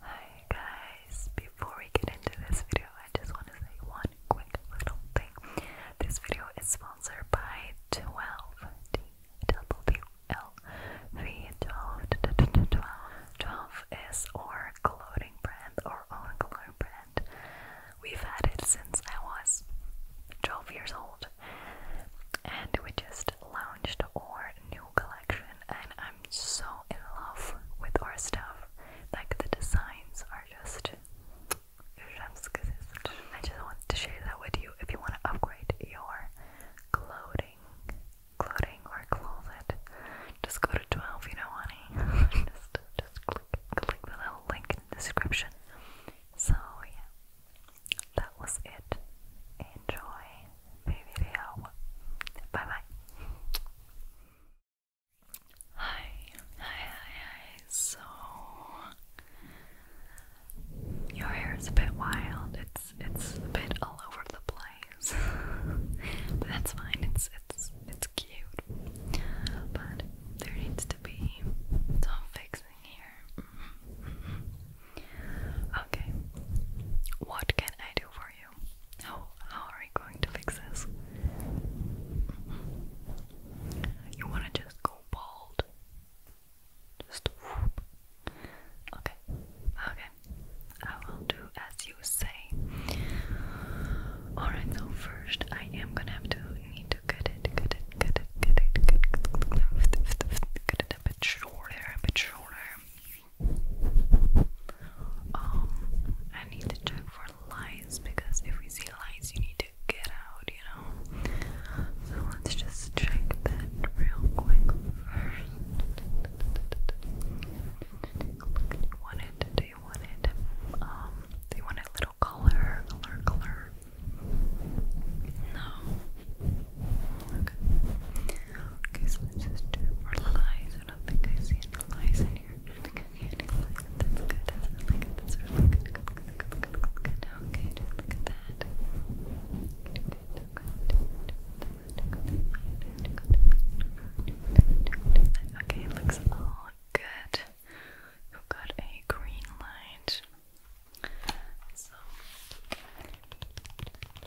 Hi guys, before we get into this video, I just want to say one quick little thing. This video is sponsored by 12 D W L V 12 is our clothing brand, our own clothing brand. We've had it since I was 12 years old, and we just launched our new collection and I'm so in love with our stuff. Like the designs are just I just wanted to share that with you if you want to upgrade your clothing clothing or closet. Just go to 12, you know honey. just just click click the little link in the description. So yeah. That was it. Enjoy video. Bye bye. Hi, hi, hi, hi. So your hair is a bit wild. It's it's a bit all over the place, but that's fine. It's it's it's cute, but there needs to be some fixing here. okay, what can I do for you? How how are we going to fix this? Mm-hmm. You wanna just go bald? Just Okay. Okay. I will do as you say. Alright, so first I am gonna have to need to cut it, cut it, cut it, cut it, cut it, cut it, cut it a bit shorter, a bit shorter. Um, I need to check for lights because if we see lights, you need to get out, you know. So let's just check that real quick first. You want it? Do Um, do you little color, color, color? No. Okay. Okay, so let's just do it for light. I don't think I see any lies in here. I don't think I That's good. That's really good. Okay, look at that. Okay, it looks all good. you got a green light. So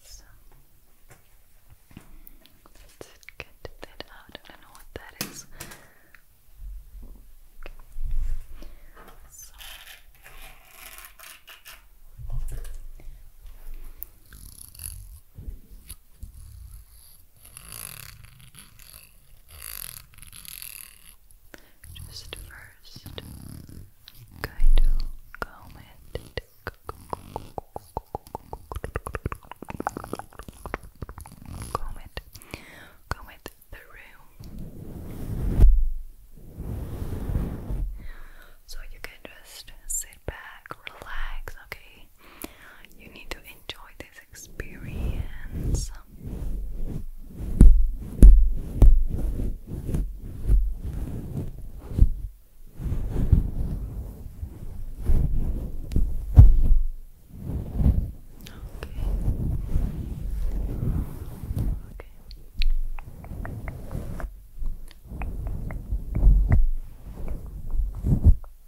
So let's get that out. I don't know what that is. Okay. So just first, I'm going to comb it. Comb it. Comb it So you can just sit back, relax, okay? You need to enjoy this experience. Okay. Okay.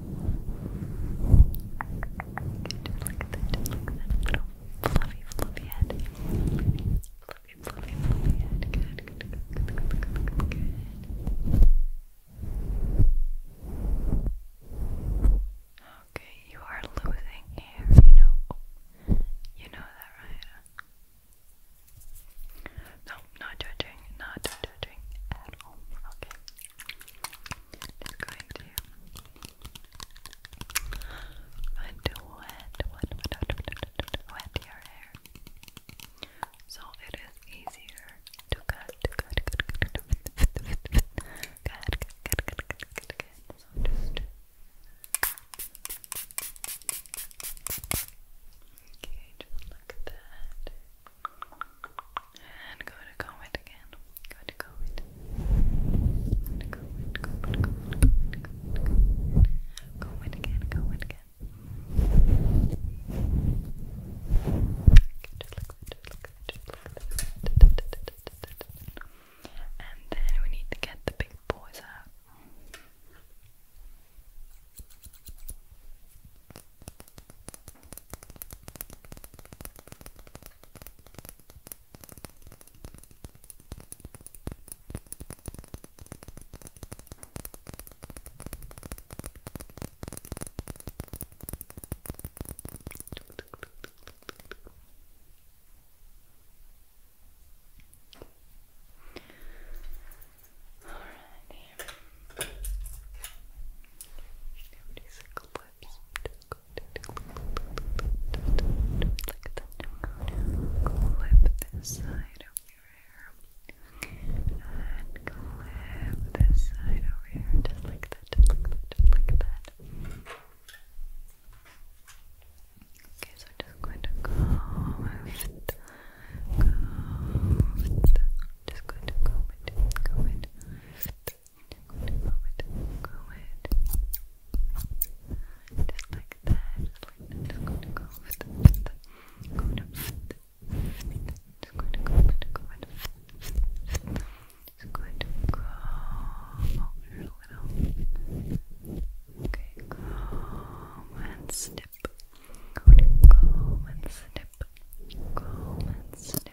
Just look at that, little fluffy, fluffy head. Fluffy, fluffy, fluffy head. Good, good, good, good, good, good, good, Okay, you are losing hair, you know. you know that, right? No, not judging, not judging at all. Okay is going to wet, wet, wet, wet, wet, wet your hair. So it is easier to cut, to cut, to cut, cut, cut, cut, cut, cut, cut, cut, cut. So just okay, just like that. And go to Comet again. Go to Go to Comet, Comet, again, Comet it, look And then we need to get the big boys out. Alrighty. Everybody's a lips. Like Clip this side over here. And clip this side over here. Just like that. Just like that. Okay, so just going to go with go with just going to comb it, comb it, go Just like that, just like that. Just going to go with the, going to, just going to go with the, go with just going to go over a little. Okay, calm and snip. Going to calm and snip. Calm and snip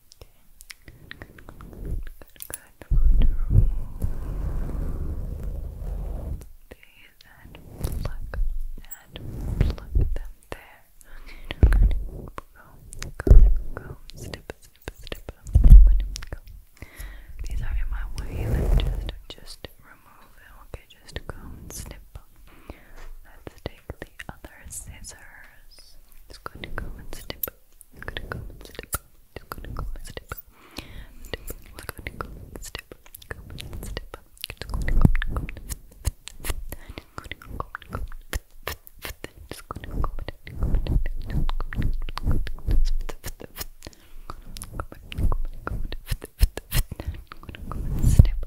Good, good, good. Take that, pluck that, pluck them there. Okay, go, go, go, snip, snip, snip, These are in my way, let me just, just remove them, okay, just go and snip. Let's take the other scissors. It's going to go and snip, I'm gonna go and step. Just gonna go and step. Just gonna go and step. Go and step. Just gonna go and step. Just gonna go and step. Just gonna go and step. Go and snip,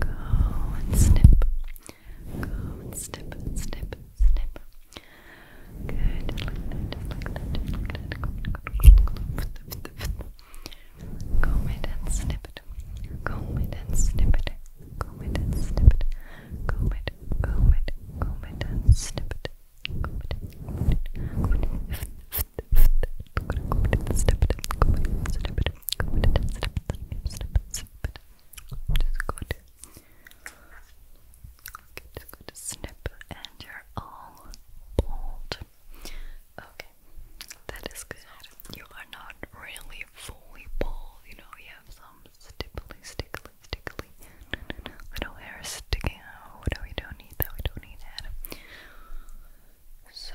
go and snip, Go and snip, snip, snip. Good, like that, like that, like that. Comb it and snip it. Comb it and snip it. Comb it and snip it. Comb it, comb it, comb it and snip it. Comb it, comb it, comb it. Comb it and snip it. Comb it and snip it. Comb it and snip it. Snip it, snip it. Just good. Okay, just going to snip and you're all bald. Okay, that is good. You are not really fully bald, you know, you have some stickly, stickly, stickly little hair sticking out. we don't need that, we don't need that. So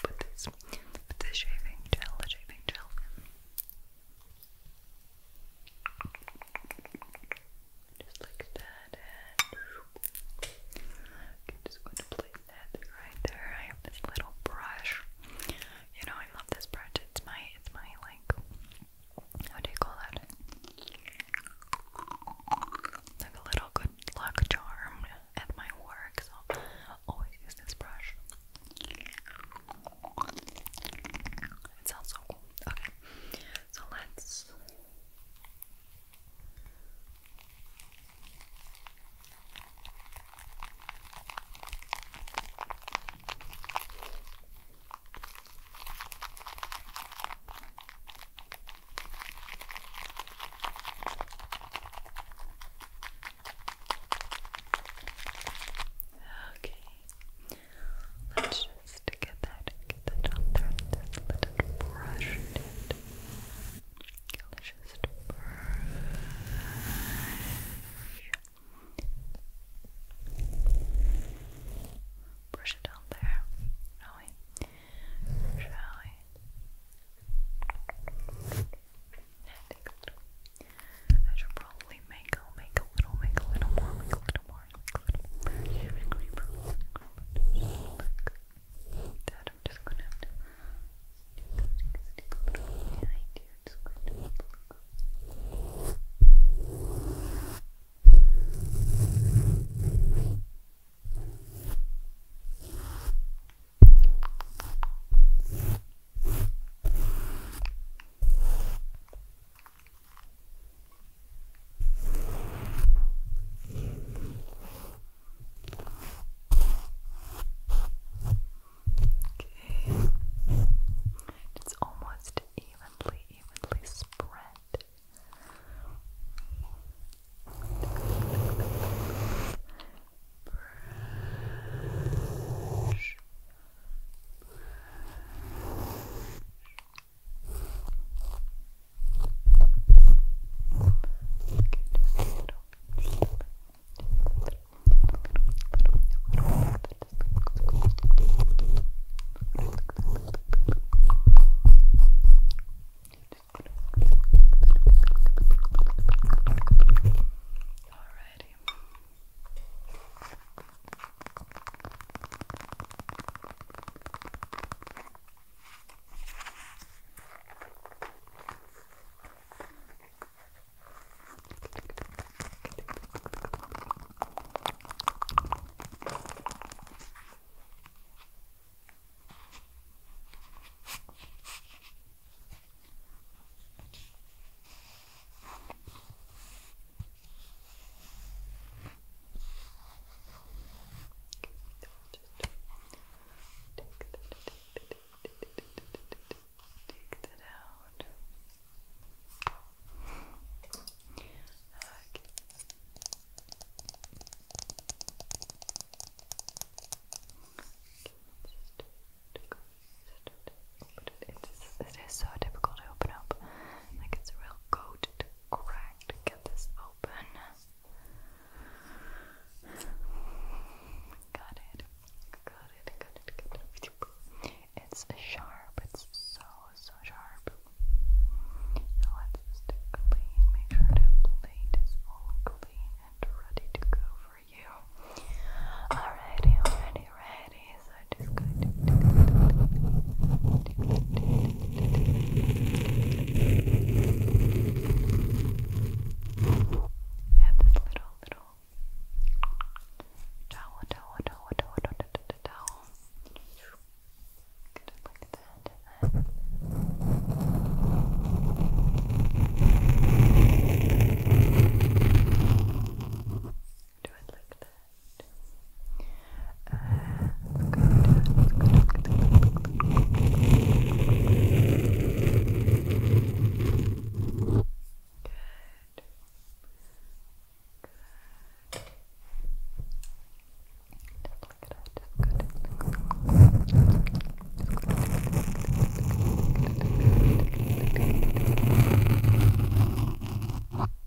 Put this, this shaving gel, the shaving gel. Just like that, and I'm just going to place that right there. I have this little brush. You know, I love this brush. It's my, it's my like how do you call that? Like a little good luck charm at my work, so always use this brush. It sounds so cool. Okay, so let's. Okay. Let's just get that get that on there. let it brush it. Let's just brush. Brush it down there, shall we? Shall we? I should probably make a make a little, make a little more, make a little more, I'm just gonna you. Okay. It's almost evenly evenly spread. Alrighty. Good. Take that out. It is so difficult to open up. Like it's real goat to get this open. Got it. Got it. Got it. Got it. It's sharp. It's so, so sharp. Now let's just clean. Make sure the plate is all and ready to go for you. already ready. So I'm just this little, little get a it like that, Do it like that. Good. Just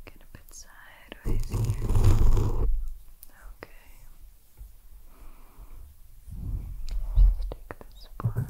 Get a bit sideways here. Okay. Just take this part.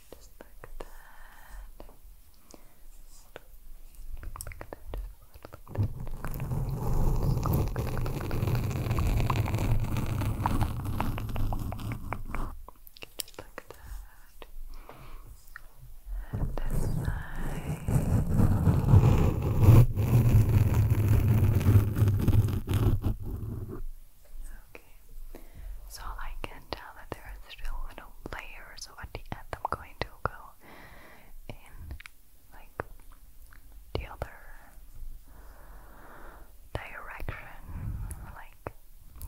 just like that. Just like that. And this side. Okay. So I can tell that there is still a little layer, so at the end I'm going to go in like the other direction, like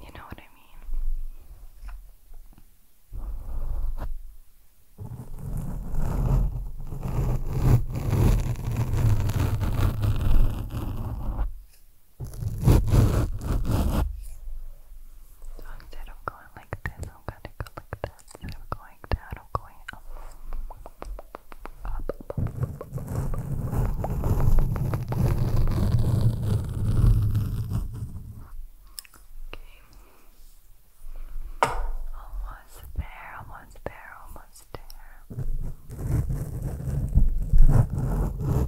you know what I mean. So instead of going like this, I'm going like that. Instead of going down, I'm going up. Up, up, up, up. Okay. Almost there, almost there, almost there.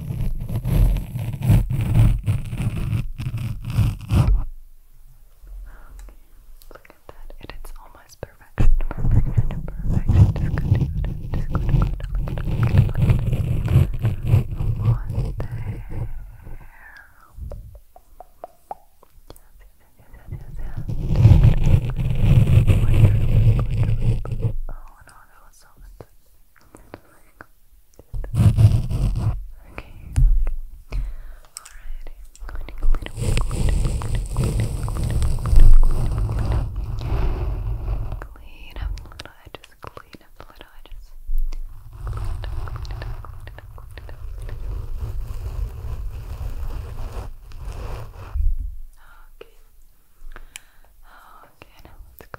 Look at that. It is almost perfection. Perfection. Perfection. Just continue it. Just go to go to look at it. Almost there. Yes, yes, yes, yes, yes. Oh no, that was so intense. Okay. Alright, I'm going to clean up, clean up, clean up, clean up, clean up, clean up, clean up, clean up, I just clean up, clean up, I just clean up, clean up, clean up, clean up, clean up. Okay. Okay, now let's go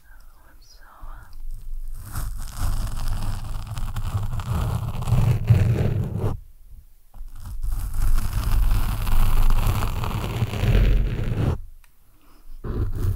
So, uh, Okay.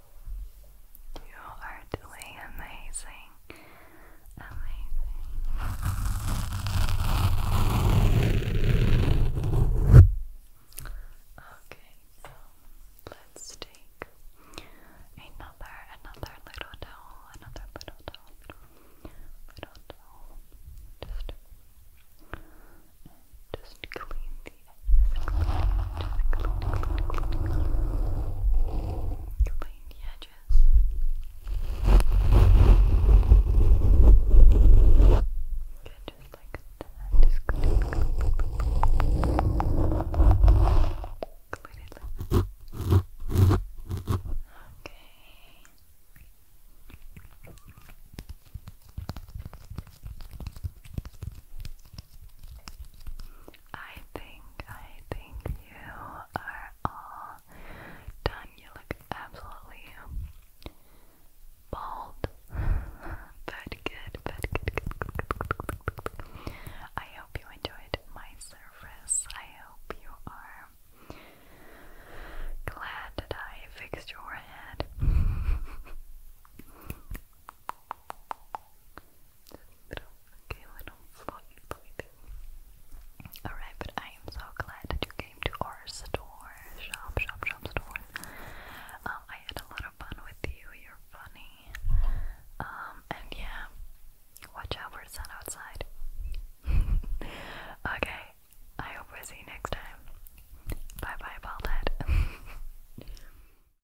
You are doing amazing, amazing. Okay, so let's take another, another little towel, another little towel, little, little just just clean just clean the edges. Good, just like that. Just clean, clean, clean. Clean it. Okay. I think, I think you are all done. You look absolutely bald, but good, but good, good, good, good, good. I hope you enjoyed my service. I hope you are glad that I fixed your head. okay, little floppy, floppy thing. Alright, but I am so glad that you came to our store, shop, shop, shop store. Um, I had a lot of fun with you, you're funny. Um, and yeah, watch out for sun outside. okay, I hope we see you next time. Bye bye, bald head.